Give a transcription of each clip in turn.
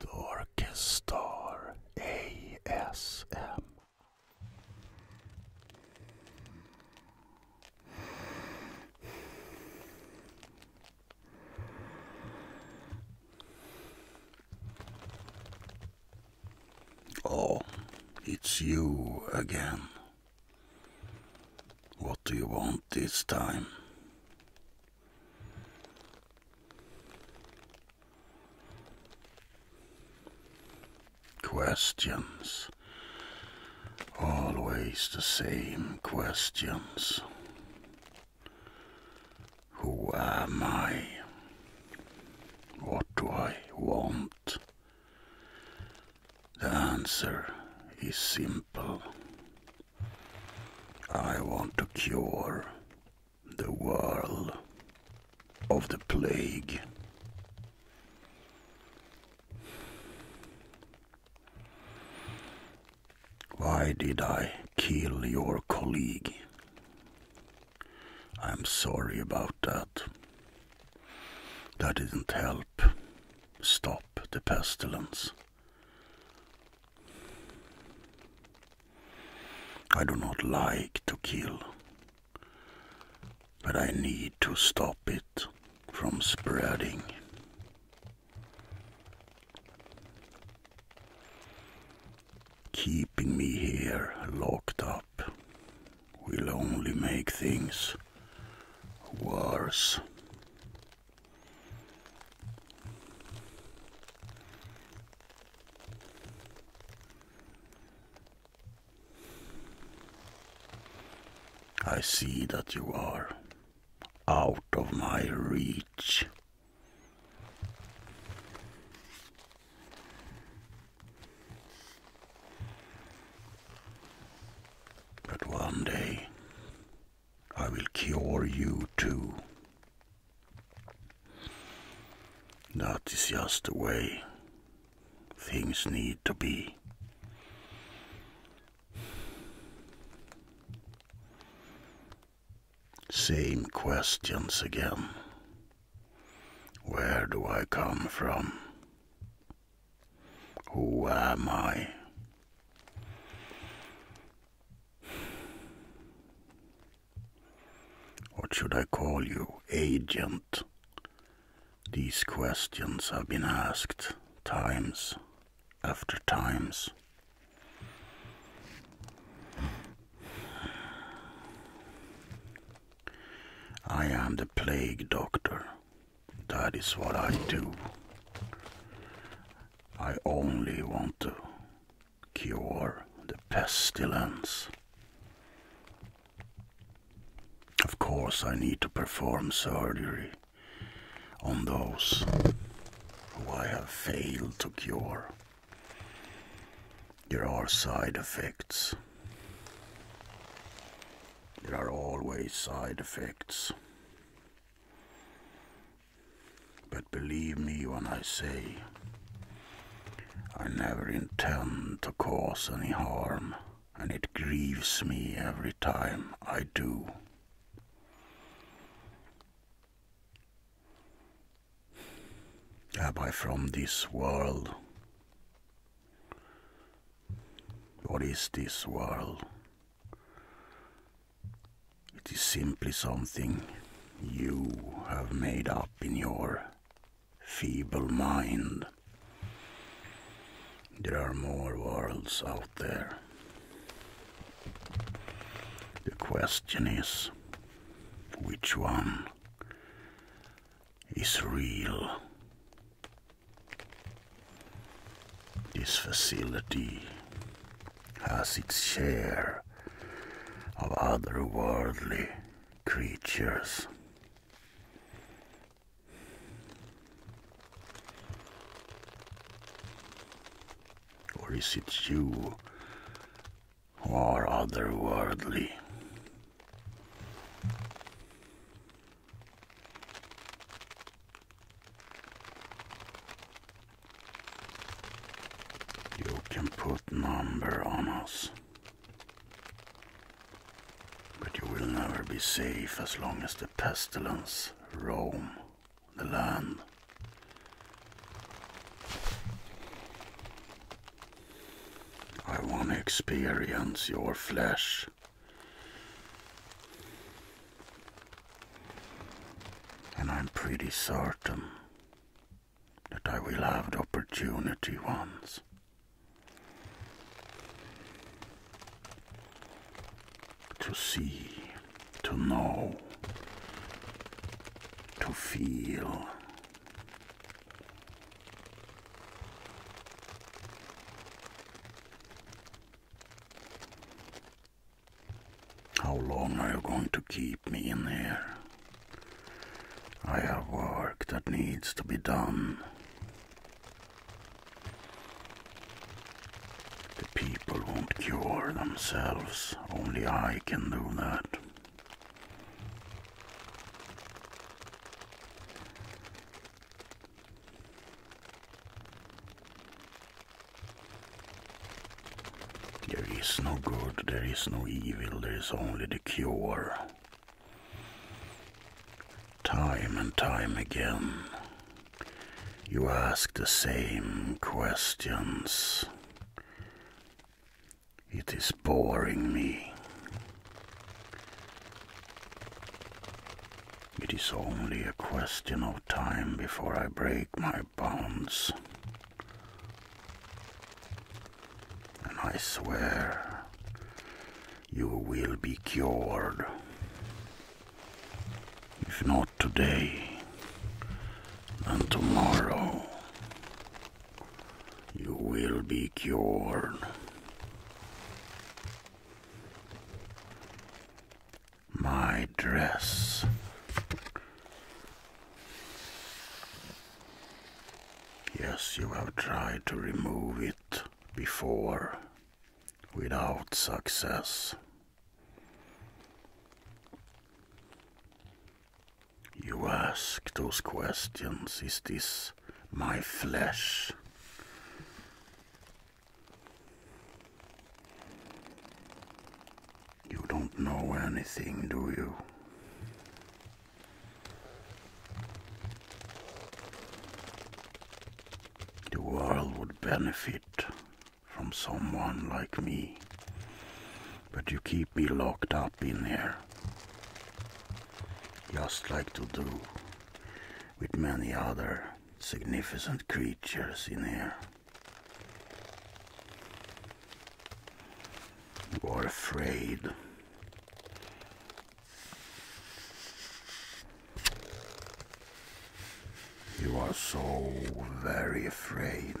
Dorkestar ASM. Oh, it's you again. What do you want this time? Questions. Always the same questions. Who am I? What do I want? The answer is simple I want to cure the world of the plague. Why did I kill your colleague? I'm sorry about that. That didn't help stop the pestilence. I do not like to kill, but I need to stop it from spreading. Keeping me here locked up will only make things worse. I see that you are out of my reach. But one day I will cure you too. That is just the way things need to be. Same questions again. Where do I come from? Who am I? What should I call you? Agent. These questions have been asked times after times. I am the plague doctor. That is what I do. I only want to cure the pestilence. Of course, I need to perform surgery on those who I have failed to cure. There are side effects. There are always side effects. But believe me when I say, I never intend to cause any harm, and it grieves me every time I do. Am I from this world? What is this world? It is simply something you have made up in your feeble mind. There are more worlds out there. The question is, which one is real. This facility has its share of otherworldly creatures. Or is it you or otherworldly. You can put number on us, but you will never be safe as long as the pestilence roam the land. I want to experience your flesh. And I'm pretty certain that I will have the opportunity once. To see, to know, to feel how long are you going to keep me in here? I have work that needs to be done. The people won't cure themselves, only I can do that. There is no good, there is no evil, there is only the cure. Time and time again, you ask the same questions. It is boring me. It is only a question of time before I break my bonds. And I swear, you will be cured. If not today and tomorrow you will be cured. My dress. Yes, you have tried to remove it before without success. You ask those questions, is this my flesh? You don't know anything, do you? The world would benefit from someone like me. But you keep me locked up in here. Just like to do with many other significant creatures in here. You are afraid. You are so very afraid.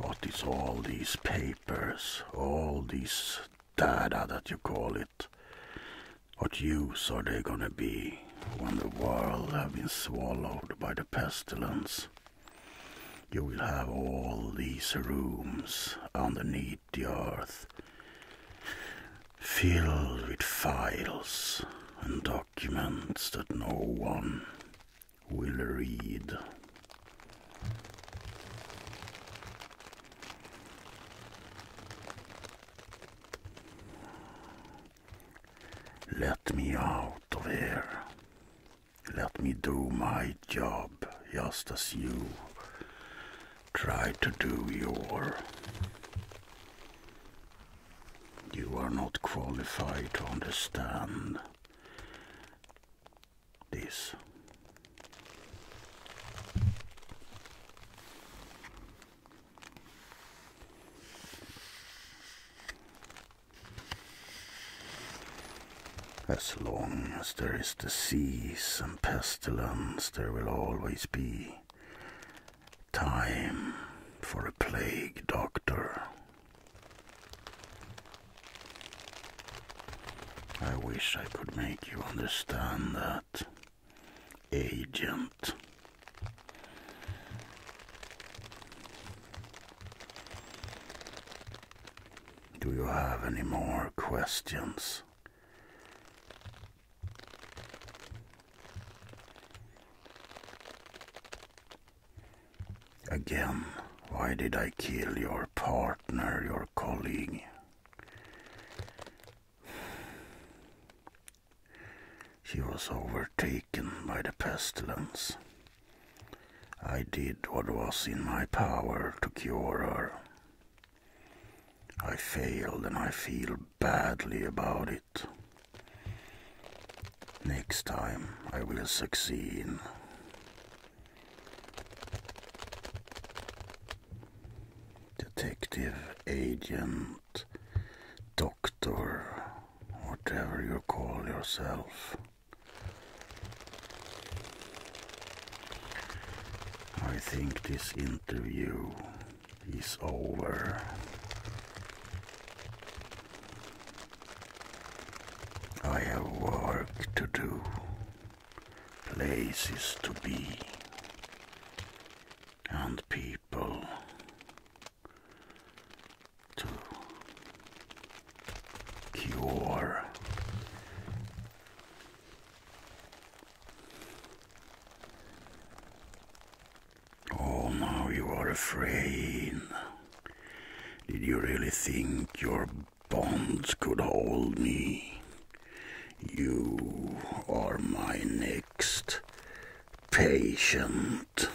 What is all these papers, all these data that you call it? What use are they gonna be when the world have been swallowed by the pestilence? You will have all these rooms underneath the earth filled with files and documents that no one will read. Let me out of here. Let me do my job just as you try to do your. You are not qualified to understand this. As long as there is disease and pestilence, there will always be time for a plague doctor. I wish I could make you understand that, agent. Do you have any more questions? Again, why did I kill your partner, your colleague? She was overtaken by the pestilence. I did what was in my power to cure her. I failed and I feel badly about it. Next time I will succeed. Detective Agent doctor. Or whatever you call yourself. I think this interview is over. I have work to do, places to be, and people to cure oh now you are afraid did you really think your bonds could hold me you are my next patient.